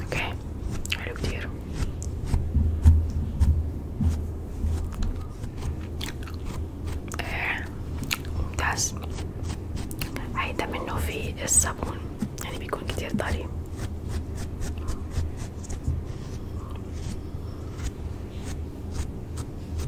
اوكي حلو كتير ممتاز هيدا منه في الصابون يعني بيكون كتير طري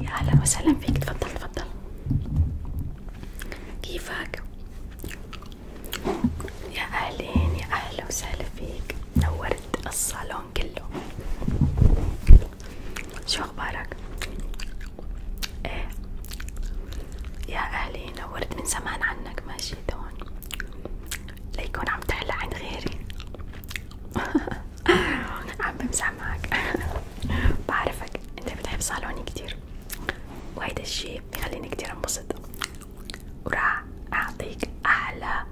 يا هلا وسهلا فيك تفضل تفضل كيفك؟ يا أهلين يا أهلا وسهلا فيك نورت الصالون كله شو اخبارك؟ ايه يا اهلي نورت من زمان عنك ما جيت هون ليكون عم تحلى عن غيري عم بمزح معك بعرفك انت بتحب صالوني كتير وهيدا الشي بخليني كتير انبسط وراح اعطيك احلى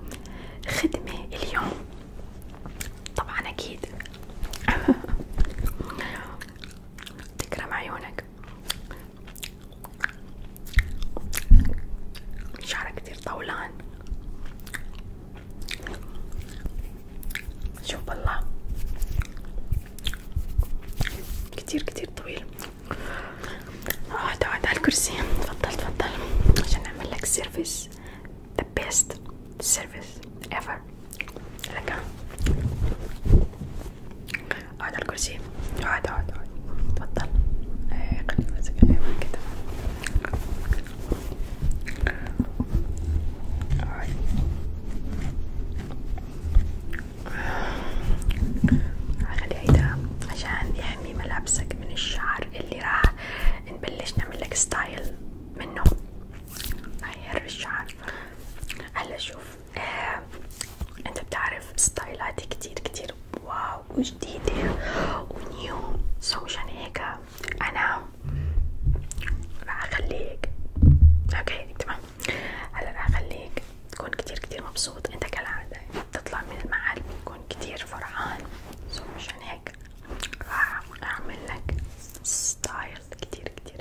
خدمة اليوم طبعا اكيد تكرم عيونك شعرك كتير طولان شوف الله كتير كتير طويل اقعد اقعد على الكرسي تفضل تفضل عشان نعمل لك سيرفيس the best service ever لك اقعد على اقعد اقعد اقعد تفضل إيه، خليني امسك كده اقعد هخليه عشان يحمي يعني ملابسك من الشعر اللي راح نبلش نعمل ستايل منه هيهر الشعر هلا شوف آه. انت بتعرف ستايلات كتير كتير واو وجديدة ونيو سو مشان هيك انا راح اخليك اوكي تمام هلا راح اخليك تكون كتير كتير مبسوط انت كالعادة بتطلع من المعهد بتكون كتير فرحان سو مشان هيك راح اعمل لك ستايل كتير كتير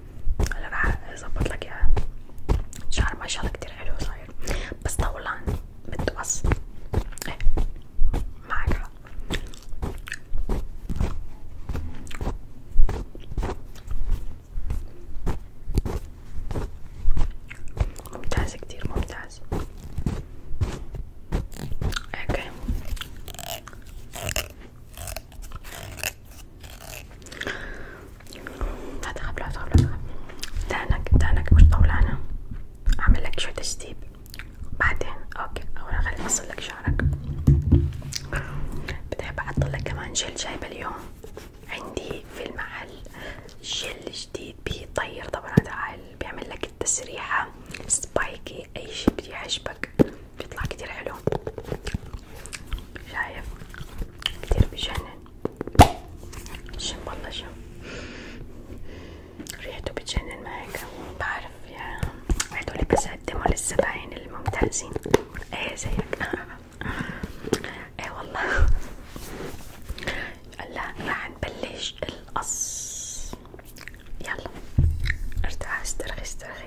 هلا راح اظبط لك اياها شعر ما شاء الله كتير حلو صاير بس طولان متقص ايه معك حق ممتاز كتير ممتاز اوكي هتخاف لا تخاف لا تخاف دهنك دهنك مش طولانة اعمل لك شوية تشطيب بعدين اوكي اولا خليني اصل لك شعرك بتحب احط لك كمان جل جايبة اليوم عندي في المحل جل جديد بيطير طبعا هذا بيعمل لك التسريحة سبايكي اي شي بيعجبك بيطلع كتير حلو شايف كتير بجنن شم والله شم ريحته بتجنن ما هيك بعرف يا هدول بس قدموا للزباين الممتازين ايه زيك ايه والله هلا راح نبلش القص يلا ارتاح استرخي استرخي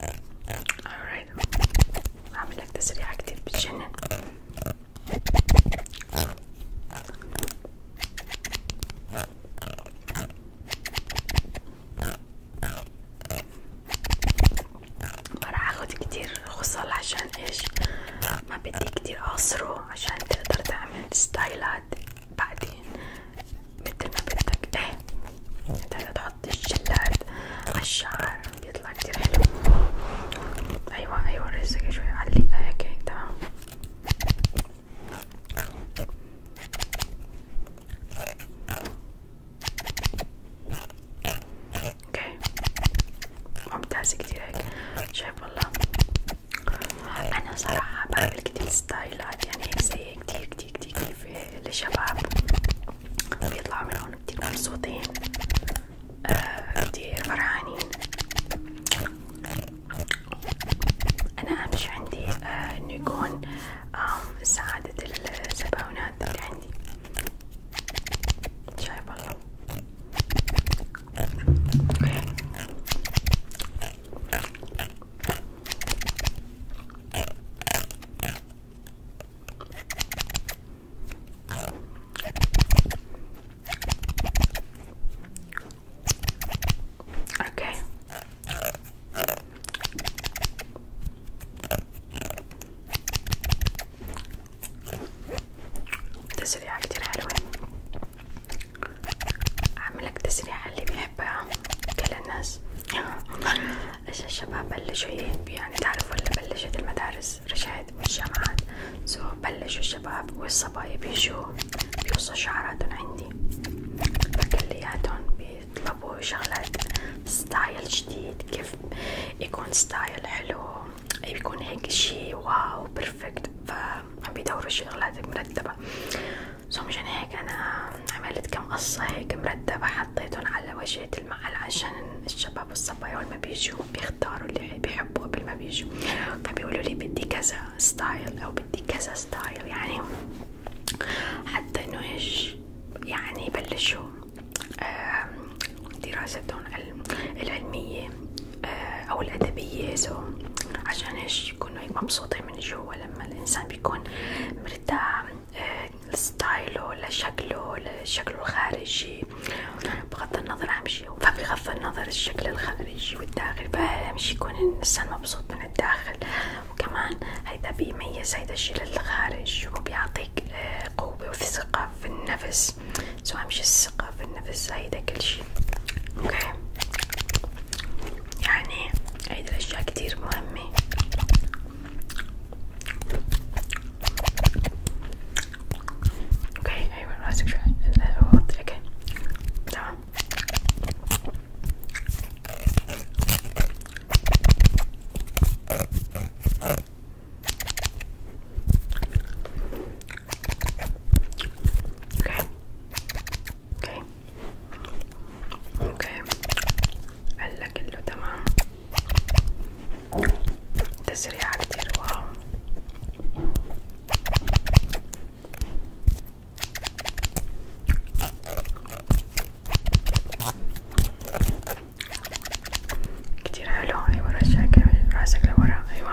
alright هعمل لك تسريعة كتير بتجنن راح اخد كتير خصال عشان ايش ما بدي كتير اعصره عشان تقدر تعمل ستايلات بعدين مثل ما بدك ايه انت تحط بحط الجلاد عالشعر بيطلع كتير حلو ايوه ايوه رزقها شوية علقها هيك هيك تمام اوكي ممتازة كتير هيك شايف والله انا صراحة بعمل كتير ستايلات يعني هيك زي كتير كتير كتير كتير في الشباب بيطلعوا من هون كتير مبسوطين آه كتير فرحانين أنا أهم شي عندي آه إنه يكون آه سعادة الزباونات اللي عندي شايف والله Okay. تسريعة كتير حلوة أعملك تسريعة اللي بيحبها كل الناس ايش الشباب بلشوا يعني تعرفوا اللي بلشت المدارس رجعت والجامعات سو بلشوا الشباب والصبايا يجوا بيوصوا شعراتهم عندي فكلياتهم بيطلبوا شغلات ستايل جديد كيف يكون ستايل حلو يكون هيك شي واو بيرفكت فعم بيدوروا شغلات مرتبة سو مشان هيك أنا عملت كم قصة هيك مرتبة حطيتهم على وجهة المحل عشان الشباب والصبايا والما بيجوا بيختاروا اللي بيحبوه قبل ما بيجوا فبيقولوا لي بدي كذا ستايل أو بدي كذا ستايل يعني حتى إنه إيش يعني يبلشوا دراستهم العلمية آه، أو الأدبية سو عشان إيش يكونوا مبسوطين من جوا لما الإنسان بيكون مرتاح لستايله لشكله لشكله الخارجي بغض النظر عن شي فبغض النظر الشكل الخارجي والداخل فأهم شي يكون الإنسان مبسوط من الداخل وكمان هيدا بيميز هيدا الشي للخارج وبيعطيك آه، قوة وثقة في النفس سو أهم شي الثقة في النفس هيدا كل شي اوكي يعني هيدا الأشياء كتير مهمة Okay, I will ask you again. تمام. Okay. Okay. Okay. قال لك كله تمام. تسريعة كتير واو كتير حلو ايوه رشاك راسك لورا ايوه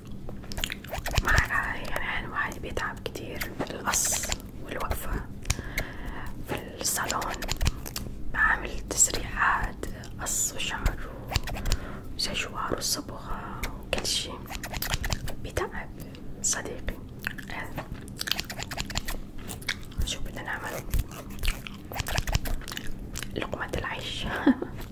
مع يعني الواحد بيتعب كتير القص والوقفة في الصالون بعمل تسريحات قص وشعر وشجوار والصبغة وكل شي بتعب صديقي شو بدنا نعمل لقمة العيش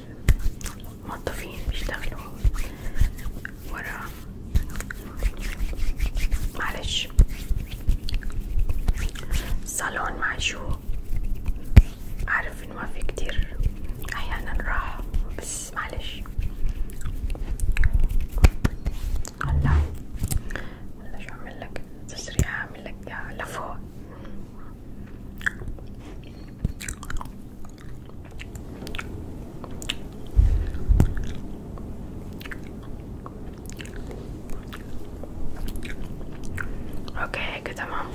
موظفين بيشتغلوا ورا معلش صالون معشوق أعرف إنه ما في كتير أحيانا راحة بس معلش هلا هلا شو أعملك تسريع أعملك لفوق Okej, okay, tamam.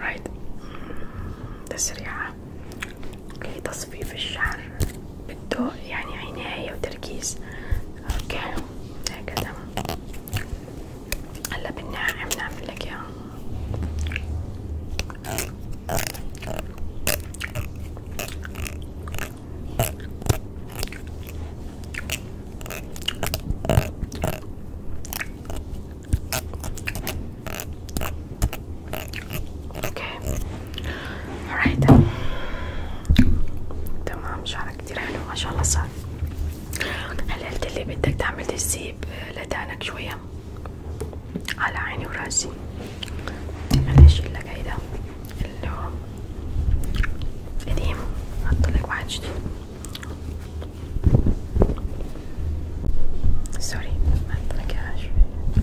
Right. This area لتصفيف الشعر بده يعني عناية وتركيز اوكي هكذا هلا بالناعم نعمل لك اياه اوكي alright تمام شعرك كتير حلو ما شاء الله صار هل قلتلي بدك تعمل تسيب آه، لدانك شوية على عيني وراسي انا اشيلك هيدا اللي هو قديم حطلك واحد جديد سوري ما حطلك اياها شوية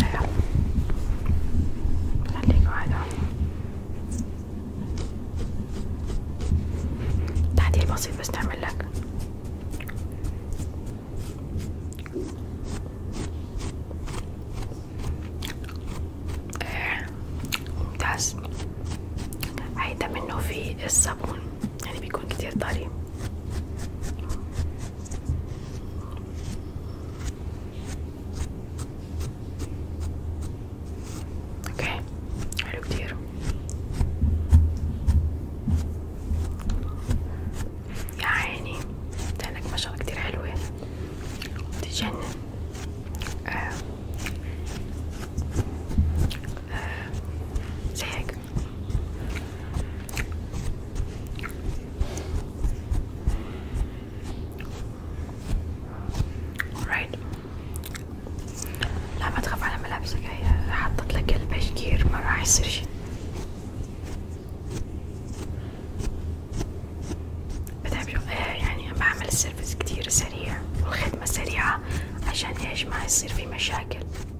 ايوه خليكوا هذا بسيط بس ممتاز هيدا منه في الصابون يعني بيكون كتير طري اوكي حلو كتير يا عيني لانك ما شاء الله كتير حلوة إيه؟ تجنن آه. آه. زيك alright لا ما تخاف على ملابسك هي حطت لك البشكير ما راح يصير شي بتعب إيه، يعني بعمل السيرفيس كتير سريع والخدمة سريعة عشان ايش ما يصير في مشاكل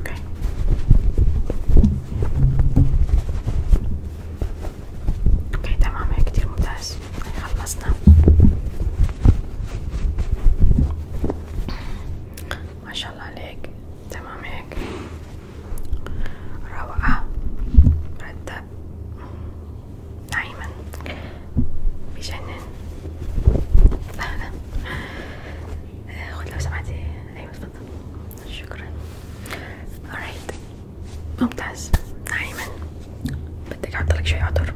Okay. اوكي تمام هيك كتير ممتاز خلصنا ما شاء الله عليك تمام هيك روعة مرتب دايما بجنن خذ لو سمحتي ايوه تفضل شكرا alright ممتاز نعيما بدك احطلك شي عطر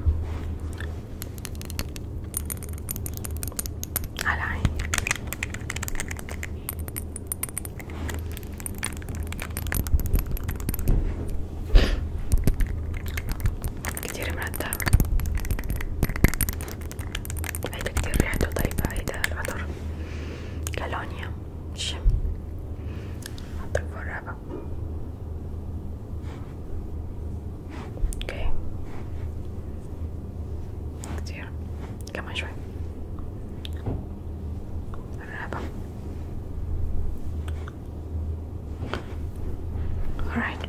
على عيني كتير مرتب هيدا كتير ريحته طيبة هيدا العطر كالونيا شم حطك فوق الرابع اوكي كتير كمان شوي الرابع alright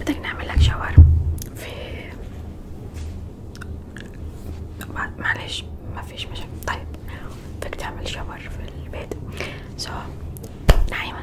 بدك نعمل لك شاور في معلش ما فيش مشاكل طيب بدك تعمل شاور في البيت سو so, نايما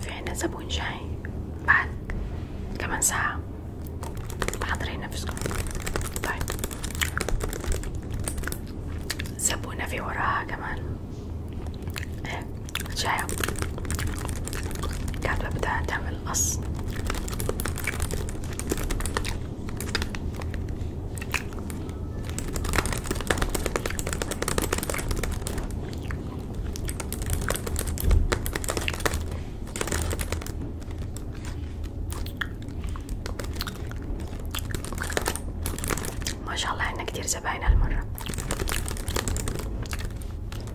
في عنا زبون جاي بعد كمان ساعة حضري نفسكم طيب زبونة في وراها كمان إيه؟ شايف قاعدة ببدأ تعمل ما شاء الله عنا كتير زباين هالمرة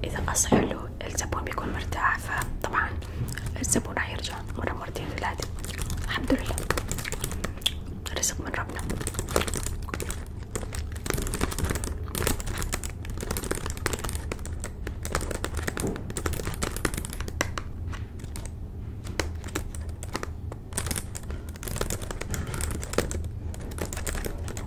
إذا قص حلو الزبون بيكون مرتاح فطبعا الزبون راح يرجع مرة مرتين ثلاثة الحمد لله رزق من ربنا